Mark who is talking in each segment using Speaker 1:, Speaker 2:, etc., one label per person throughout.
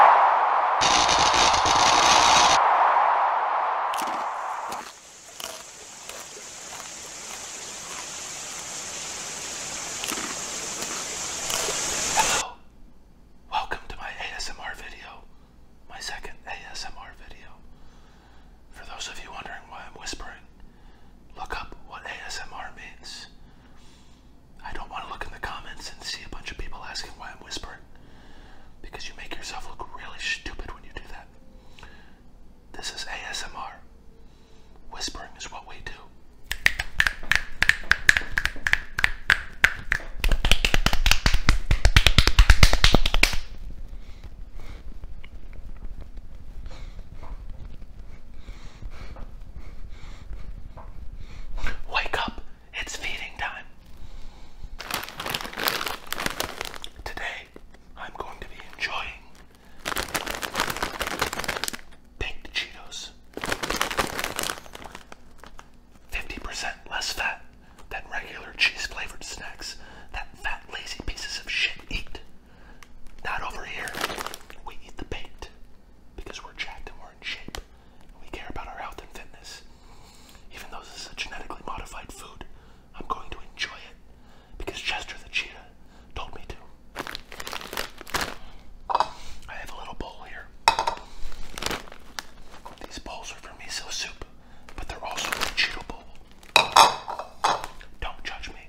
Speaker 1: Hello, welcome to my ASMR video, my second ASMR video. For those of you wondering why I'm whispering, look up what ASMR means. I don't want to look in the comments and see a bunch of people asking why I'm whispering because you make yourself look really stupid when you do that. This is ASMR. Whispering is what we do. Wake up, it's feeding time. Today, I'm going to be enjoying baked Cheetos. 50% less fat than regular cheese flavored snacks that fat, lazy pieces of shit eat. Not over here. We eat the baked because we're jacked and we're in shape. We care about our health and fitness. Even though this is a genetically modified food, I'm going to enjoy it because Chester the cheetah told me to. I have a little bowl here. These bowls are for miso soup, but they're also for cheeto bowl. Don't judge me.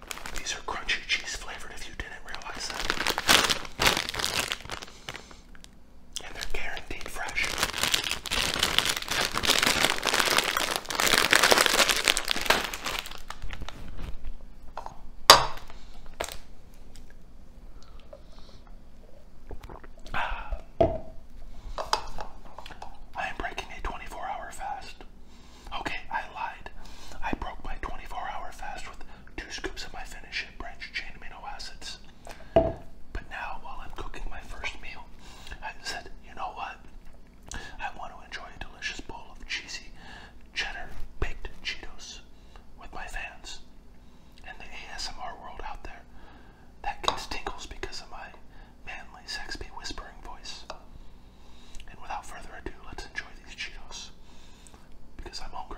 Speaker 1: These are crunchy cheese flavored if you didn't realize that. And they're guaranteed fresh. Ah. I am breaking a 24 hour fast. Okay, I lied. I broke my 24 hour fast with two scoops of my Finish It Branch Chain Amino Acids. But now, while I'm cooking my first meal, I said, you know what? I want to enjoy a delicious bowl of cheesy cheddar baked Cheetos with my fans. And the ASMR world out there that gets tingles because of my manly, sexy whispering voice. And without further ado, let's enjoy these Cheetos because I'm hungry.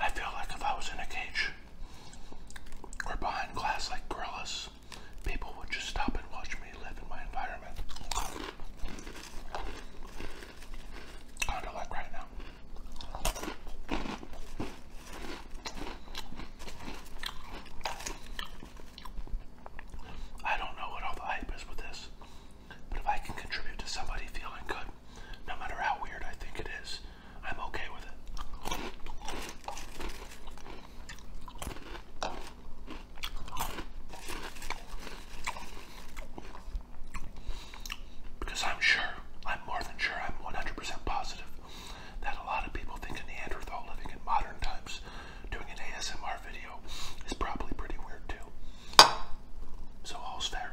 Speaker 1: I feel like if I was in a cage or behind glass like gorillas, people would just stop and watch me live in my environment. Kind of like right now. I don't know what all the hype is with this, but if I can contribute to somebody feeling good, no matter how weird I think it is, I'm okay with it. Because I'm sure, I'm more than sure, I'm 100% positive that a lot of people think Neanderthal living in modern times doing an ASMR video is probably pretty weird too. So all's fair.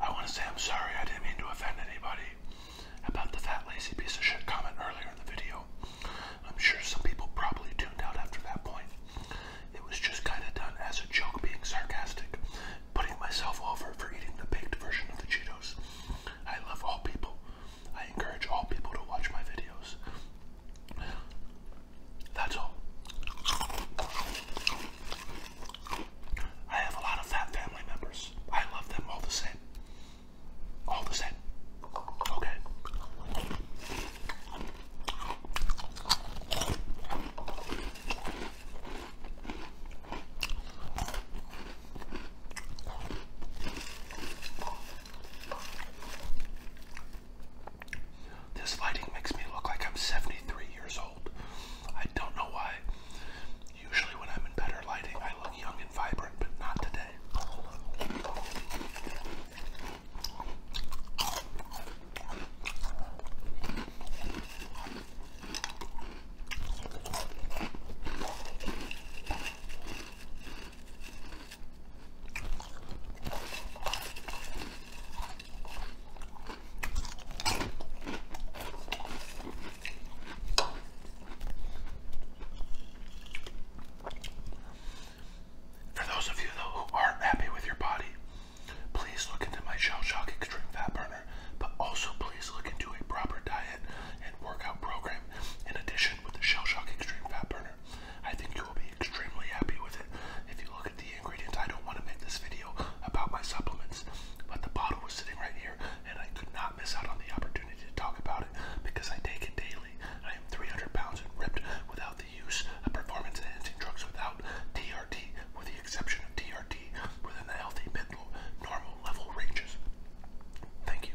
Speaker 1: I want to say I'm sorry. I didn't mean to offend anybody about the fat lazy piece of shit comment earlier in the video. I'm sure some people probably tuned out after that point. It was just kind of done as a joke, being sarcastic, putting myself over for eating the baked version of the Cheetos. I love all people. I encourage all people to watch my videos. That's all. I have a lot of fat family members. I love them all the same. All the same. Okay. This lighting makes me look like I'm 73 years old. I don't know why. Usually, when I'm in better lighting, I look young and vibrant, but not today. For those of you who are happy with your body, please look into my Shell Shock Extreme Fat Burner, but also please look into a proper diet and workout program in addition with the Shell Shock Extreme Fat Burner. I think you will be extremely happy with it. If you look at the ingredients, I don't want to make this video about my supplements, but the bottle was sitting right here, and I could not miss out on the opportunity to talk about it because I take it daily. I am 300 pounds and ripped without the use of performance enhancing drugs, without TRT, with the exception of TRT, within the healthy mental normal level ranges. Thank you.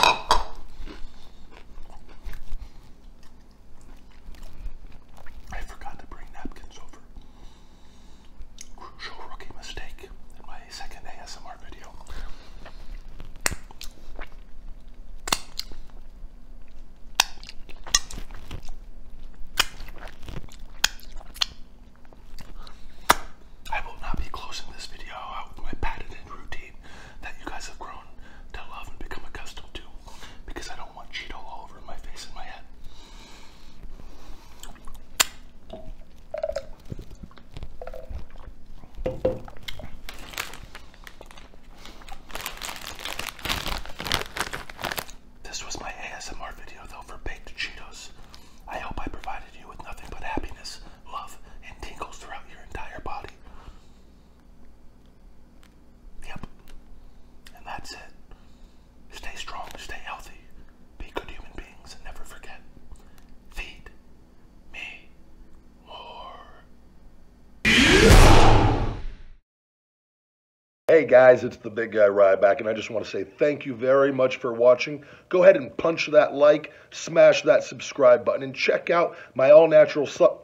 Speaker 1: I forgot to bring napkins over. Crucial rookie mistake in my second ASMR video. I will not be closing this video out with my patented routine that you guys have grown to love and become accustomed to because I don't want Cheeto all over my face and my head. This was my ASMR video though for baked Cheetos. I hope I provided you with nothing but happiness, love, and tingles throughout your entire body. Yep. And that's it. Stay strong, stay healthy, be good human beings, and never forget feed me
Speaker 2: more. Hey guys, it's the big guy Ryback, and I just want to say thank you very much for watching go ahead and punch that like, smash that subscribe button, and check out my all natural su-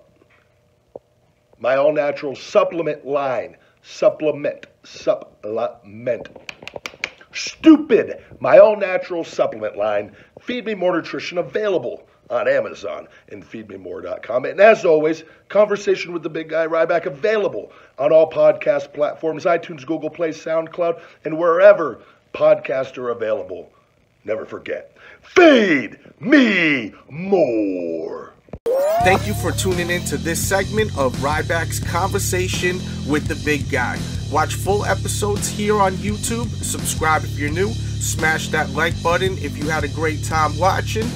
Speaker 2: my all natural supplement line. Supplement, supplement. Stupid, my all natural supplement line. Feed me more nutrition available on Amazon and feedmemore.com. And as always, conversation with the big guy Ryback available on all podcast platforms iTunes, Google Play, SoundCloud, and wherever podcasts are available. Never forget, feed me more. Thank you for tuning into this segment of Ryback's Conversation with the Big Guy. Watch full episodes here on YouTube. Subscribe if you're new. Smash that like button if you had a great time watching.